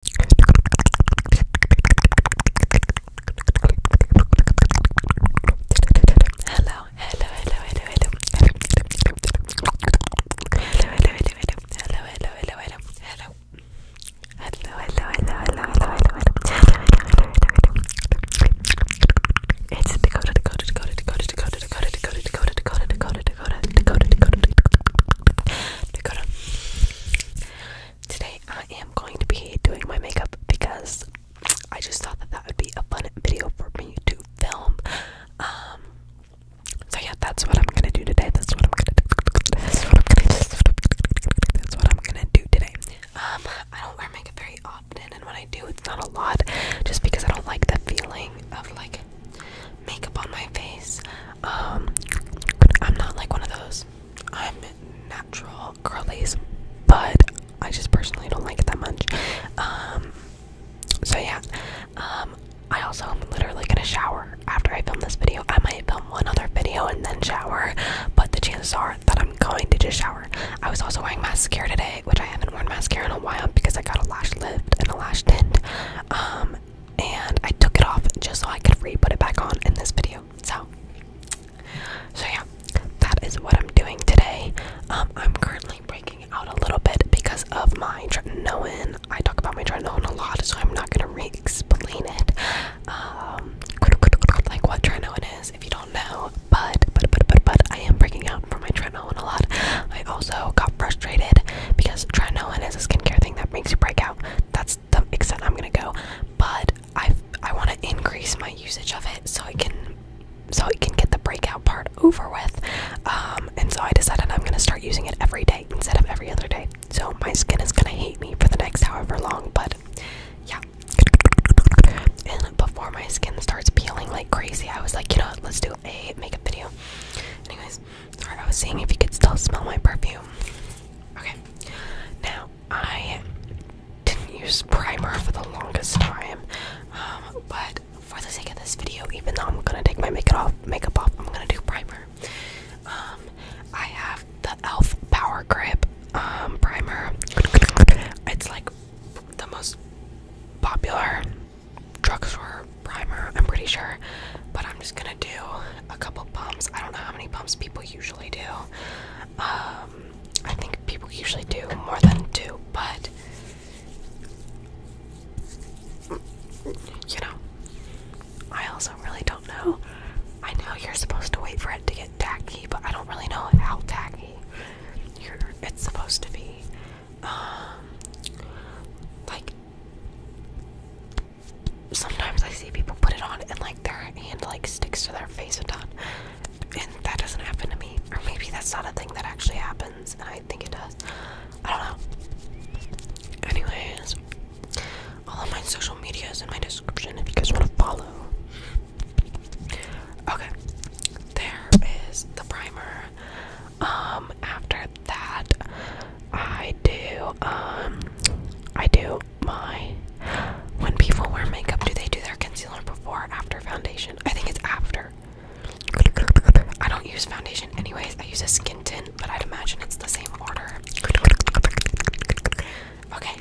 hello, hello, hello, hello, hello. Hello, hello, hello, hello. Hello, hello, hello, hello. Hello. Hello, hello, hello, hello, hello, hello. It's Dakota, Dakota, Dakota, Dakota, Dakota, Dakota, Dakota, Dakota, Dakota, Dakota, Dakota, Dakota, Dakota, Dakota, Dakota, Dakota, Today I am going to be doing my makeup because I just thought that that would be a fun video for me to film. Um, so yeah, that's what I'm gonna do today. That's what I'm gonna do. That's what I'm gonna do. That's what I'm gonna do today. Um, I don't wear makeup very often, and when I do, it's not a lot, just because I don't like the feeling of like makeup on my face. Um, but I'm not like one of those. I'm natural curlies, but I just personally don't like it that much. Um, so yeah. Um, I also literally gonna shower after I film this video. I might film one other video and then shower, but the chances are that I'm going to just shower. I was also wearing mascara today, which I haven't worn mascara in a while because I got a lash lift and a lash tint. Um, and I took it off just so I could re-put it back on in this video. So, so yeah, that is what I'm doing today. Um, I'm currently breaking out a little bit because of my tretinoin. I talk about my tretinoin a lot, so I'm not gonna re-explain it. Um, like what tretinoin is, if you don't know. But but but but but I am breaking out from my tretinoin a lot. I also got frustrated because tretinoin is a skincare thing that makes you break out. That's the extent I'm gonna go. But I I want to increase my usage of it so I can so I can get the breakout part over with. Um, and so I decided I'm gonna start using it every day instead of every other day. So my skin is gonna hate me for the next however long, but yeah. And before my skin starts peeling like crazy, I was like, you know let's do a makeup video. Anyways, I was seeing if you could still smell my perfume. Okay. Now, I didn't use primer for the longest time, um, but for the sake of this video, even though I'm gonna take my makeup off, I'm gonna do primer. Um, I have the Elf Power Grip um, primer. It's like the most popular drugstore primer, I'm pretty sure, but I'm just gonna do a couple pumps. I don't know how many pumps people usually do. Um, I think people usually do more than two, but you know, I also really don't know. I know you're supposed to wait for it to get tacky, but I don't really know how tacky it's supposed to be. Um, like sometimes I see people put it on and like their hand like sticks to their face a ton. And that doesn't happen to me. Or maybe that's not a thing that actually happens, and I think it does. I don't know. Anyways, all of my social media is in my description if you guys want to follow. Okay. There is the primer. Um after that I do um I do my when people wear makeup do they do their concealer before after foundation? I think it's after. I don't use foundation anyways. I use a skin tint, but I'd imagine it's the same order. Okay.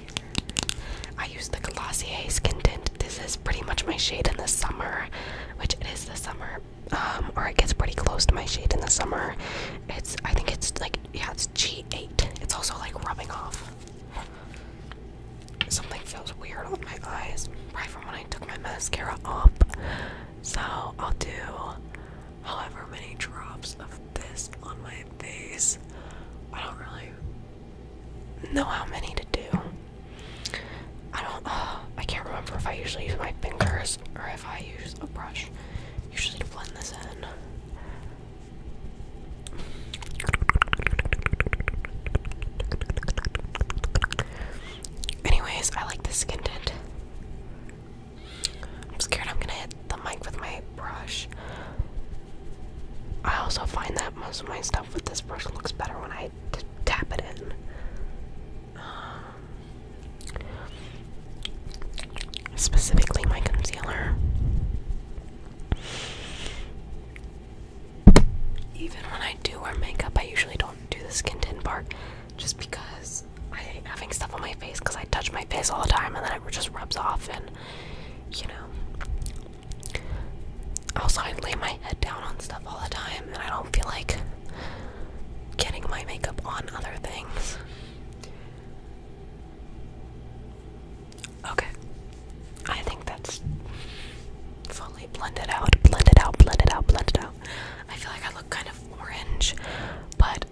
I use the Glossier skin tint. This is pretty much my shade in the summer, which it is the summer, um, or it gets pretty close to my shade in the summer. It's I think it's like yeah, it's G8. It's also like rubbing off. Something feels weird on my eyes, right from when I took my mascara off. So I'll do however many drops of this on my face. I don't really know how many to do. I don't. I can't remember if I usually use my fingers or if I use a brush. You blend this in. Anyways, I like this tint. I'm scared I'm gonna hit the mic with my brush. I also find that most of my stuff with this brush looks better when I tap it in. Um, Specifically, my concealer. Even when I do wear makeup, I usually don't do the skin tint part just because I hate having stuff on my face because I touch my face all the time and then it just rubs off, and you know. Also, I lay my head down on stuff all the time and I don't feel like getting my makeup on other things. Okay. I think that's fully blended out. Blended out, blended out, blended out. I feel like I look kind of orange, but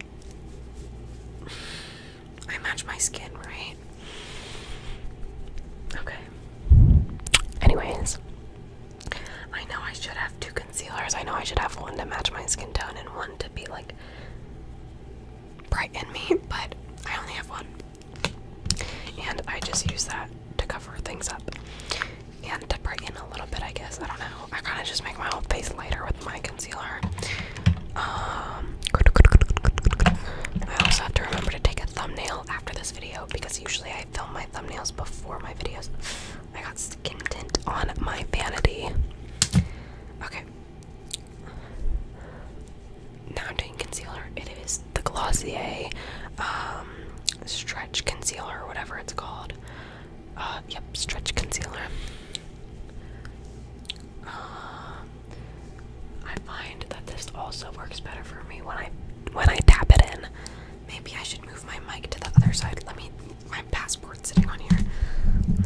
I match my skin, right? Okay. Anyways, I know I should have two concealers. I know I should have one to match my skin tone and one to be like brighten me, but I only have one. And I just use that to cover things up and to brighten a little bit, I guess. I don't know. I kind of just make my whole face lighter with my concealer. Um, I also have to remember to take a thumbnail after this video because usually I film my thumbnails before my videos. I got skin tint on my vanity. Okay. Now I'm doing concealer. It is the Glossier um, Stretch Concealer, or whatever it's called. Uh, yep, Stretch Concealer. Uh, I find that this also works better for me when I when I tap it in. Maybe I should move my mic to the other side. Let me passport sitting on here.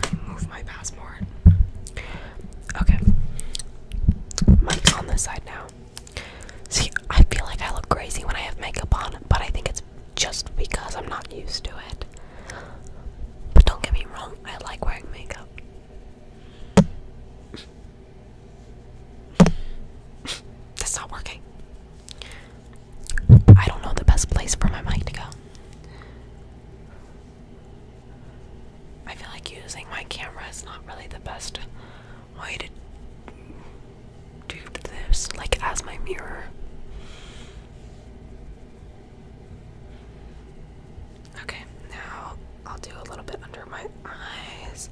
Let move my passport. Okay. Mike's on this side now. See, I feel like I look crazy when I have makeup on, but I think it's just because I'm not used to it. But don't get me wrong, I like wearing makeup. That's not working. I don't know the best place for my mic to go. I feel like using my camera is not really the best way to do this, like as my mirror. Okay, now I'll do a little bit under my eyes.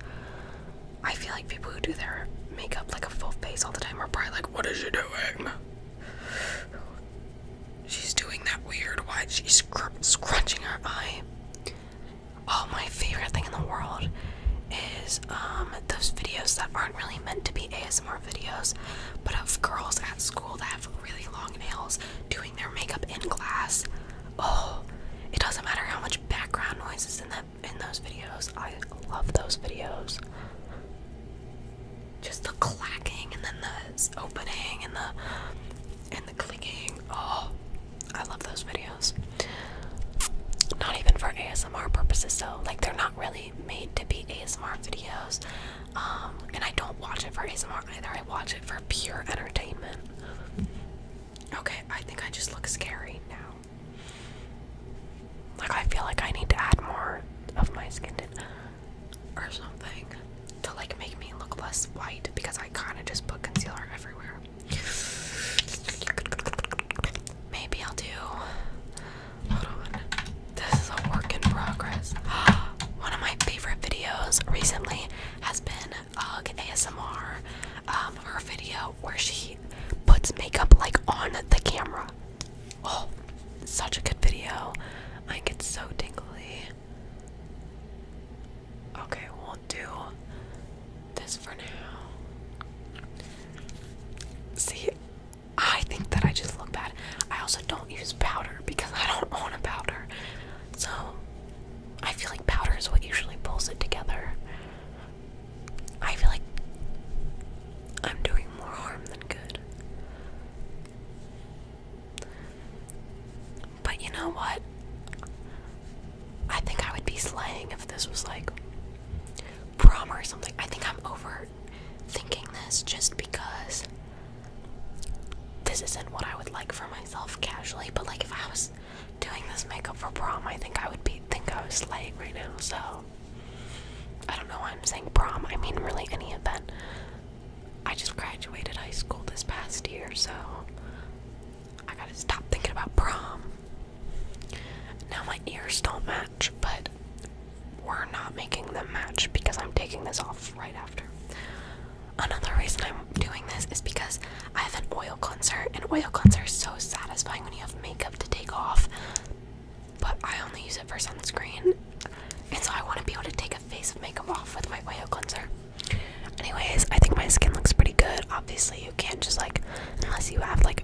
I feel like people who do their makeup like a full face all the time are probably like, What is she doing? She's doing that weird why She's scrunching her eye. Oh, my favorite thing in the world is um those videos that aren't really meant to be ASMR videos, but of girls at school that have really long nails doing their makeup in class. Oh, it doesn't matter how much background noise is in that in those videos. I love those videos just the clacking and then the opening and the and the clicking. Oh, I love those videos. Not even for ASMR purposes So, Like they're not really made to be ASMR videos. Um, and I don't watch it for ASMR either. I watch it for pure entertainment. Okay, I think I just look scary now. Like I feel like I need to add more of my skin to or something to like make me look less white because I kind of just put concealer everywhere. Maybe I'll do. This is a work in progress. One of my favorite videos recently has been Ugg ASMR, um, her video where she puts makeup like on the camera. Oh, such a good video. I get so tingly. Okay, we'll do this for now. See, I think that I just look bad. I also don't use powder because I don't own a powder. So I feel like powder is what usually pulls it together. I feel like I'm doing more harm than good. But you know what? I think I would be slaying if this was like prom or something. I think I'm overthinking this just because this isn't what I would like for myself casually. But like if I was doing this makeup for prom, I think I would be think I was slaying right now. So I don't know why I'm saying prom. I mean, really, any event. I just graduated high school this past year, so I gotta stop thinking about prom. Now my ears don't match, but we're not making them match because I'm taking this off right after. Another reason I'm doing this is because I have an oil concert, and oil concert is so satisfying when you have makeup to take off but I only use it for sunscreen, and so I want to be able to take a face of makeup off with my oil cleanser. Anyways, I think my skin looks pretty good. Obviously, you can't just like, unless you have like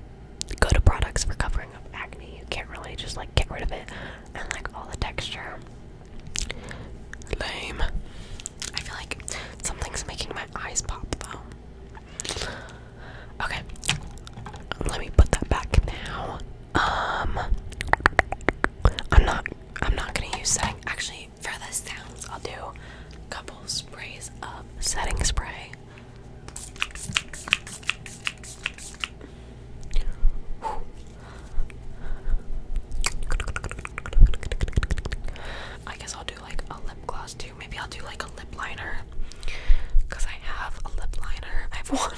good products for covering up acne, you can't really just like get rid of it and like all the texture. Lame. I feel like something's making my eyes pop though. Okay, let me put that back now. Um I'm not I'm not gonna use setting actually for the sounds I'll do a couple sprays of setting spray. Whew. I guess I'll do like a lip gloss too. Maybe I'll do like a lip liner. Because I have a lip liner. I have one.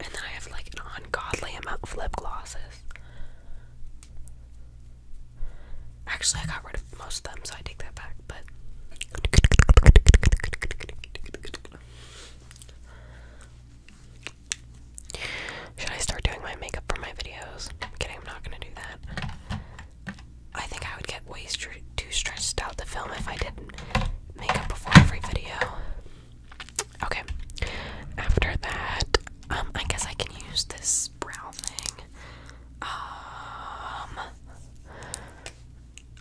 And then I have like an ungodly amount of lip glosses. Actually, I got rid of most of them, so I take that back, but. Should I start doing my makeup for my videos? I'm kidding, I'm not gonna do that. I think I would get waist too stressed out to film if I didn't makeup before every video. Okay. After that, um, I guess I can use this brow thing. Um,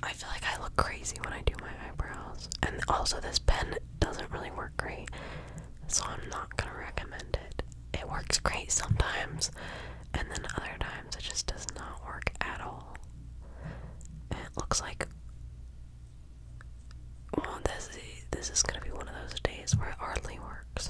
I feel like I look crazy when I do my eyebrows, and also this pen doesn't really work great, so I'm not gonna recommend it. It works great sometimes, and then other times it just does not work at all it looks like well, this is this is gonna be one of those days where it hardly works.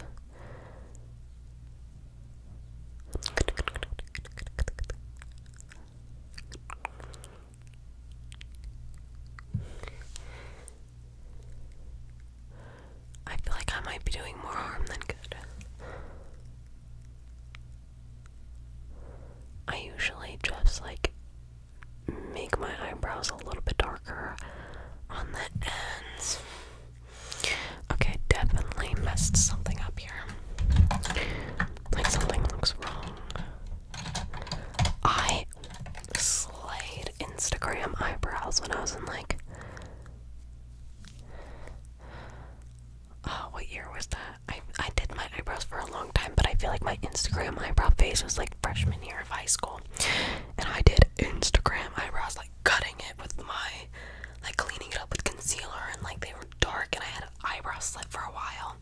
I feel like I might be doing more harm than good. I usually just like make my eyebrows a little bit darker on the ends. Okay, definitely messed something up here. Like something looks wrong. I slayed Instagram eyebrows when I was in like Oh, what year was that? I I did my eyebrows for a long time, but I feel like my Instagram eyebrow face was like freshman year of high school, and I did Instagram eyebrows like cutting it with my like cleaning it up with concealer, and like they were dark, and I had an eyebrow slit for a while.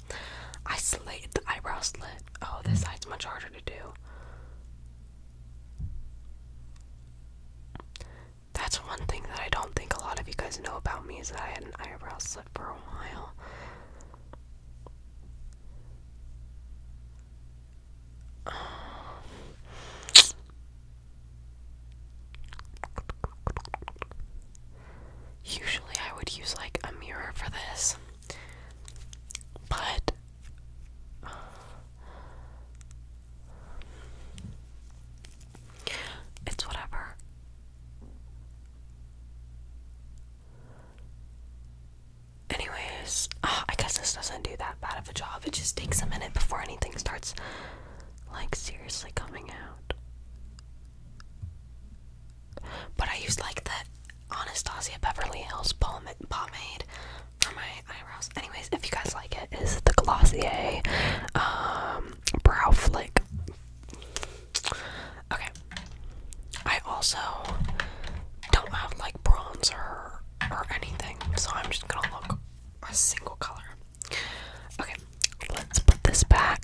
I slayed the eyebrow slit. Oh, this side's much harder to do. That's one thing that I don't think a lot of you guys know about me is that I had an eyebrow slit for a while. usually I would use like a mirror for this, but it's whatever. Anyways, ah, I guess this doesn't do that bad of a job. It just takes a minute before anything starts, like, seriously coming out. But I used, like, the Anastasia Beverly Hills pomade for my eyebrows. Anyways, if you guys like it, is the Glossier um, Brow Flick Okay. I also don't have like bronzer or, anything, so I'm just gonna look a single color. Okay, let's put this back.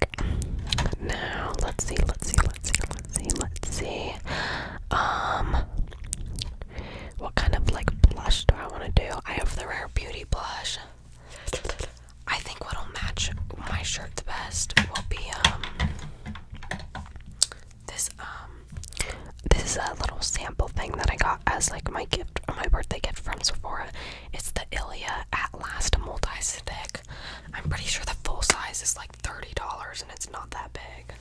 Now let's see, let's see, let's see, let's see, let's see. Um what kind of like blush do I want to do? I have the Rare Beauty blush. I think what'll match my shirt the best will be um this um this is a little sample thing that I got as like my gift or my birthday gift from Sephora. It's the Ilia At Last multi stick. I'm pretty sure the full size is like thirty dollars and it's not that big.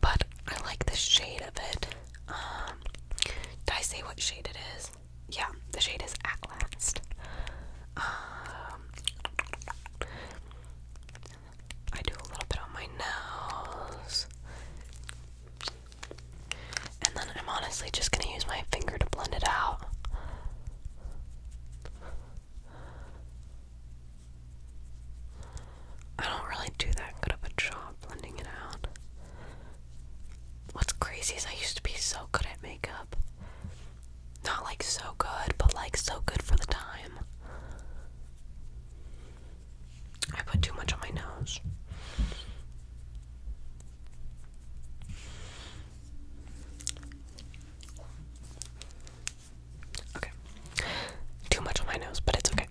But I like the shade of it. Um, did I say what shade it is? yeah, the shade is At Last. Um, I do a little bit on my nose. And then I'm honestly just gonna use my finger to blend it out. I don't really do that good of a job blending it out. What's crazy is I used to be so good at makeup. Not like so good, but like so good for the time. I put too much on my nose. Okay. Too much on my nose, but it's okay.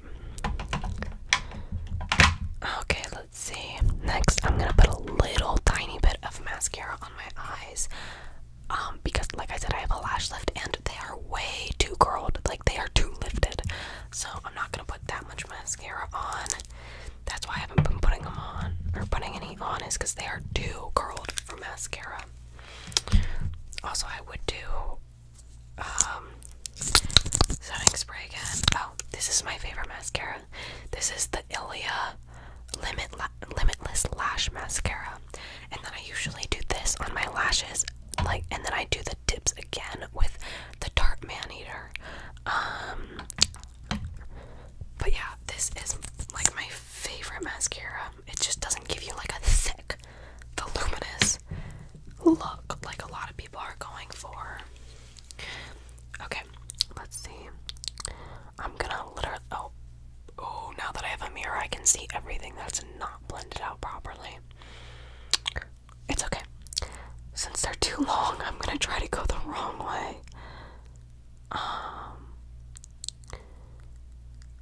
Okay, let's see. Next, I'm gonna put a little tiny bit of mascara on my eyes. Um, because like I said, I have a lash lift and they are way too curled, like they are too lifted. So I'm not gonna put that much mascara on. That's why I haven't been putting them on or putting any on is because they are too curled for mascara. Also, I would do um, setting spray again. Oh, this is my favorite mascara. This is the Ilia Limit Limitless Lash Mascara. And then I usually do this on my lashes, like, and then I do the tips again with the Tarte Man Eater. Um, but yeah, this is like my favorite mascara. It just doesn't give you like a thick, voluminous look like a lot of people are going for. Okay, let's see. I'm gonna literally. Oh, oh! Now that I have a mirror, I can see everything that's not blended out properly. It's okay. Since they're too long, I'm gonna try to go the wrong way. Um.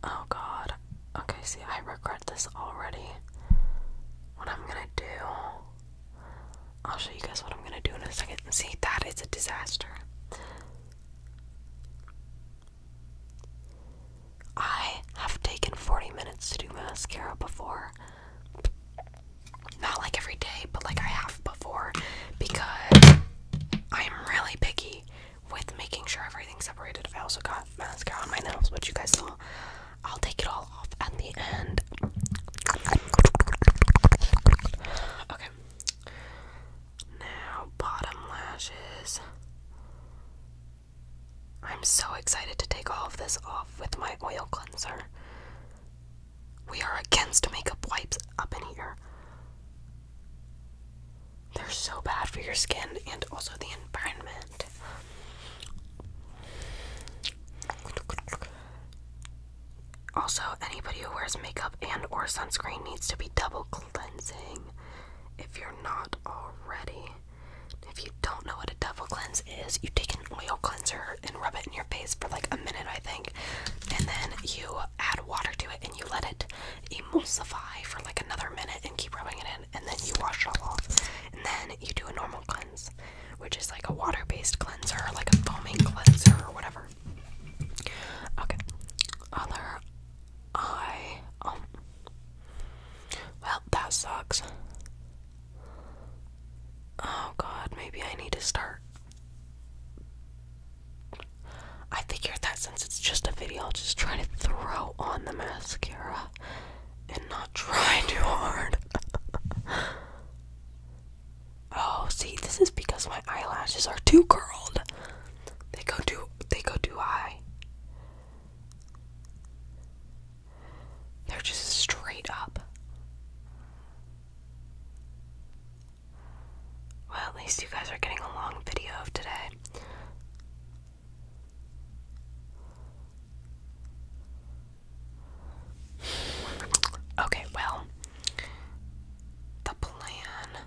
Oh God. Okay. See, I regret this already. What I'm gonna do? I'll show you guys what I'm gonna do in a second. See, that is a disaster. I have taken 40 minutes to do mascara before. Not like every day, but like I have before because I'm really picky with making sure everything's separated. I also got mascara on my nails, which you guys saw. I'll take it all at the end. Okay. Now, bottom lashes. I'm so excited to take all of this off with my oil cleanser. We are against makeup wipes up in here. They're so bad for your skin and also the environment. Also, anybody who wears makeup and or sunscreen needs to be double cleansing if you're not already. If you don't know what a double cleanse is, you take an oil cleanser and rub it in your face for like a minute, I think, and then you add water to it and you let it emulsify for like another minute and keep rubbing it in, and then you wash it all off, and then you do a normal cleanse which is like a water based cleanser, like a foaming cleanser, or whatever. Okay, other eye. Um, well, that sucks. Oh god, maybe I need to start. I figured that since it's just a video, I'll just try to throw on the mascara and not try too hard. Oh, see, this is because my eyelashes are too curled. They go too they go too high. They're just straight up. Well, at least you guys are getting a long video of today. Okay, well, the plan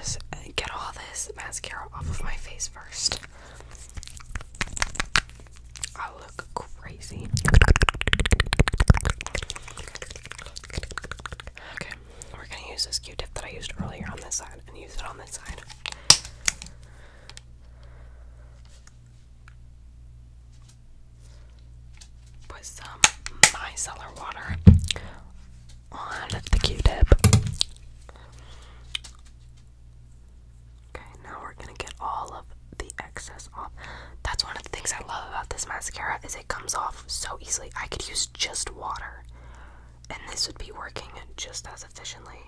is get all this mascara off of my face first. I look crazy. Okay, we're gonna use this Q-tip that I used earlier on this side and use it on this side put some micellar water on the q-tip okay now we're gonna get all of the excess off that's one of the things i love about this mascara is it comes off so easily i could use just water and this would be working just as efficiently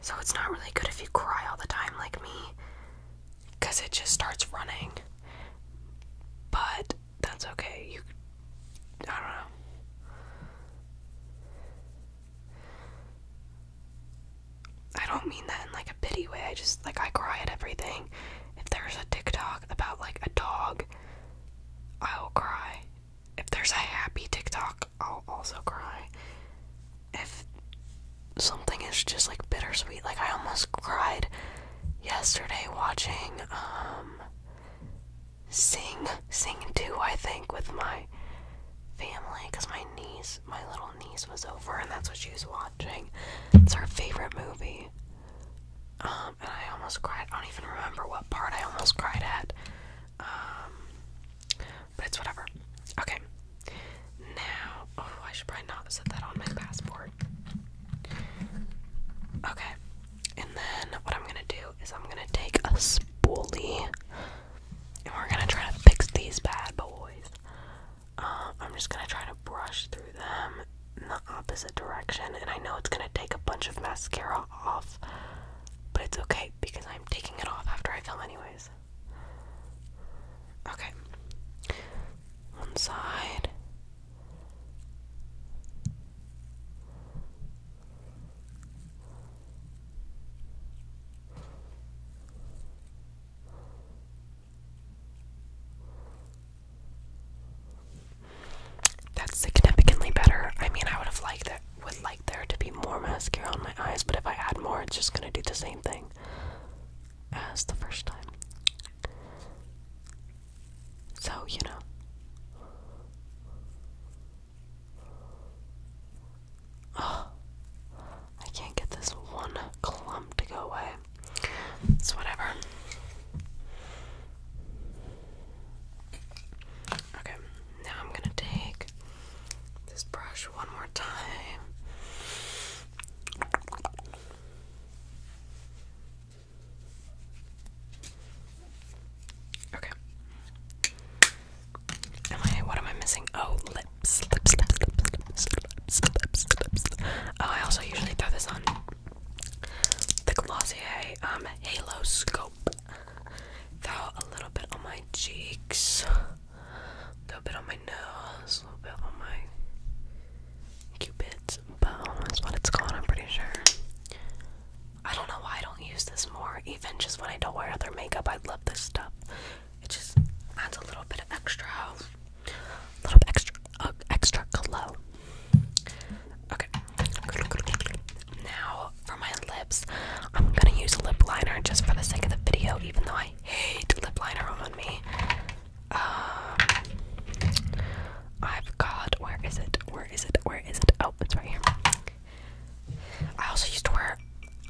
so it's not really good if you cry all the time like me because it just starts running. But that's okay. You I don't know. I don't mean that in like a pity way. I just like I cry at everything. If there's a TikTok about like a dog, I'll cry. If there's a happy TikTok, I'll also cry if something is just like bittersweet, like I almost cried yesterday watching um Sing, Sing 2, I think, with my family because my niece, my little niece, was over and that's what she was watching. It's her favorite movie. Um, and I almost cried. I don't even remember what part I almost cried at. Um, but it's whatever. Okay. Now, oh, I should probably not set that on my passport. Okay. And then what I'm going to do is I'm going to take a spoolie and we're going to try to fix these bad boys. Uh, I'm just going to try to brush through them in the opposite direction. And I know it's going to take a bunch of mascara off, but it's okay because I'm taking it off after I film, anyways. Okay. One side. That's significantly better. I mean, I would have liked it. Would like there to be more mascara on my eyes, but if I add more, it's just gonna do the same thing thing as the first time. So, you know. Oh, I can't get this one clump to go away. It's whatever. Okay, now I'm gonna take this brush one more time. Okay. Am I? What am I missing? Oh, lips, lips, lips, lips, lips, lips, lips. Oh, I also usually throw this on the Glossier um Halo Scope. Throw a little bit on my cheeks. A little bit on my nose, a little bit on my cupid's bow is what it's called, I'm pretty sure. I don't know why I don't use this more, even just when I don't wear other makeup. I love this stuff. It just adds a little bit of extra, a little extra, uh, extra glow. Okay. Now for my lips, I'm gonna use lip liner just for the sake of the video, even though I hate lip liner on me. Um, I've got where is it? Where is it? Where is it? Oh, it's right here. I also used to wear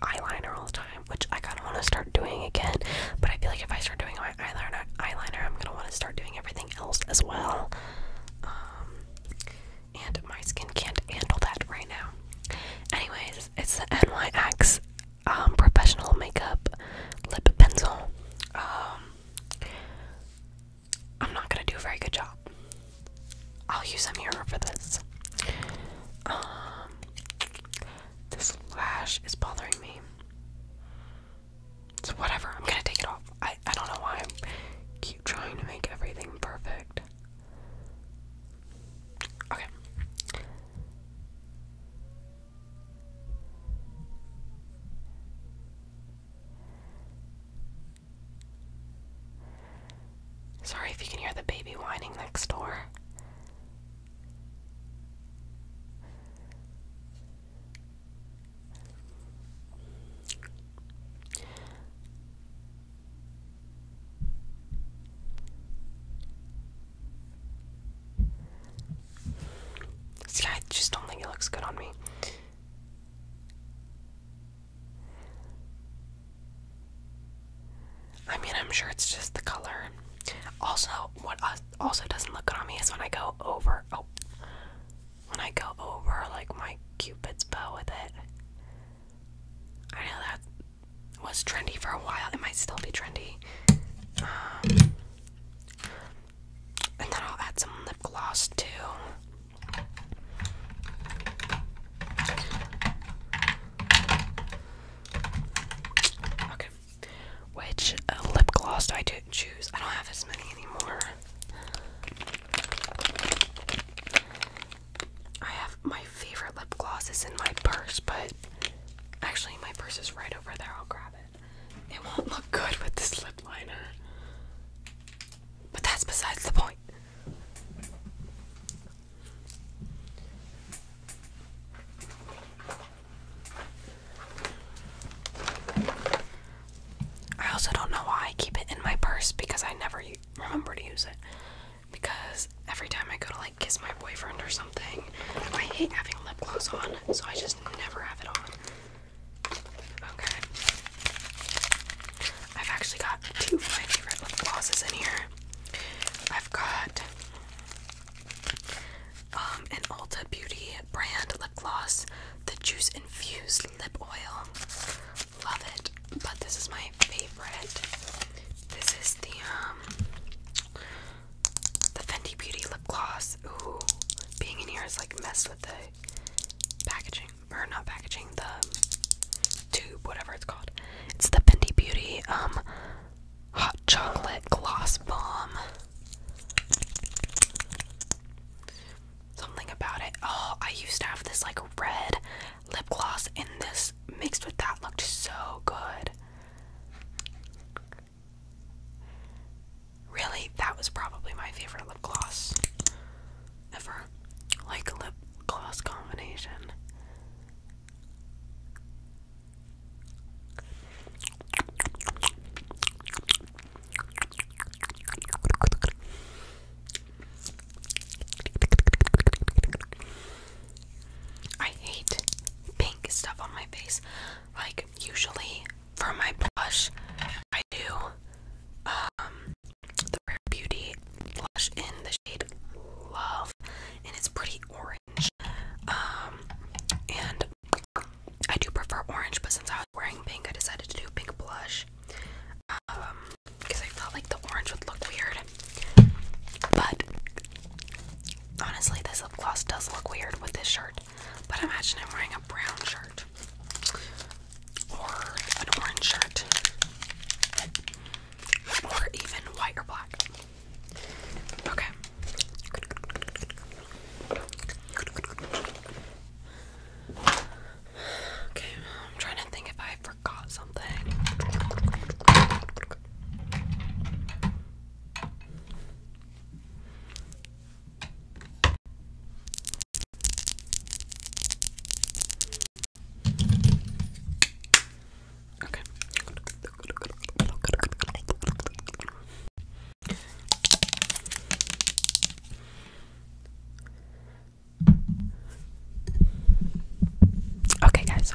eyeliner all the time, which I kind of want to start doing again. But I feel like if I start doing my eyeliner, eyeliner, I'm gonna want to start doing everything else as well. Um, and my skin can't handle that right now. Anyways, it's the NYX um, professional makeup lip pencil. Um, I'm not gonna do a very good job. I'll use a mirror for this. Um, this lash is bothering me. So whatever, I'm gonna take it off. I I don't know why I keep trying to make everything perfect. Sorry if you can hear the baby whining next door. See, I just don't think it looks good on me. I mean, I'm sure it's just the color. Also, what also doesn't look good on me is when I go over. Oh, when I go over like my cupid's bow with it. I know that was trendy for a while. It might still be trendy. Um, and then I'll add some lip gloss too. Okay. Which uh, lip gloss do I choose? I don't have as many anymore. I have my favorite lip gloss is in my purse, but actually my purse is right over there. I'll grab it. It won't look good with this lip liner. But that's besides the point. I also don't know why I keep it in my purse because I never remember to use it because every time I go to like kiss my boyfriend or something, I hate having lip gloss on, so I just never have it on. Okay. I've actually got two favorite lip glosses in here. I've got um, an Ulta Beauty brand lip gloss, the Juice Infused Lip Oil. Love it, but this is my favorite. This is the um, the Fendi Beauty lip gloss. Ooh, being in here has like messed with the packaging, or not packaging, the tube, whatever it's called. It's the Fendi Beauty um hot chocolate gloss bomb. Something about it. Oh, I used to have this like red lip gloss, in this mixed with that looked so good. Really, that was probably my favorite lip gloss ever. Like lip gloss combination. I hate pink stuff on my face. Like usually for my blush, I do um the Rare Beauty blush in the shade Love, and it's pretty orange. Um, and I do prefer orange, but since I was wearing pink, I decided to do pink blush. Um, because I felt like the orange would look weird but honestly, this lip gloss does look weird with this shirt. But imagine I'm wearing a brown shirt or an orange shirt or even white or black. Okay. Okay, I'm trying to think if I forgot something. Okay. Okay, guys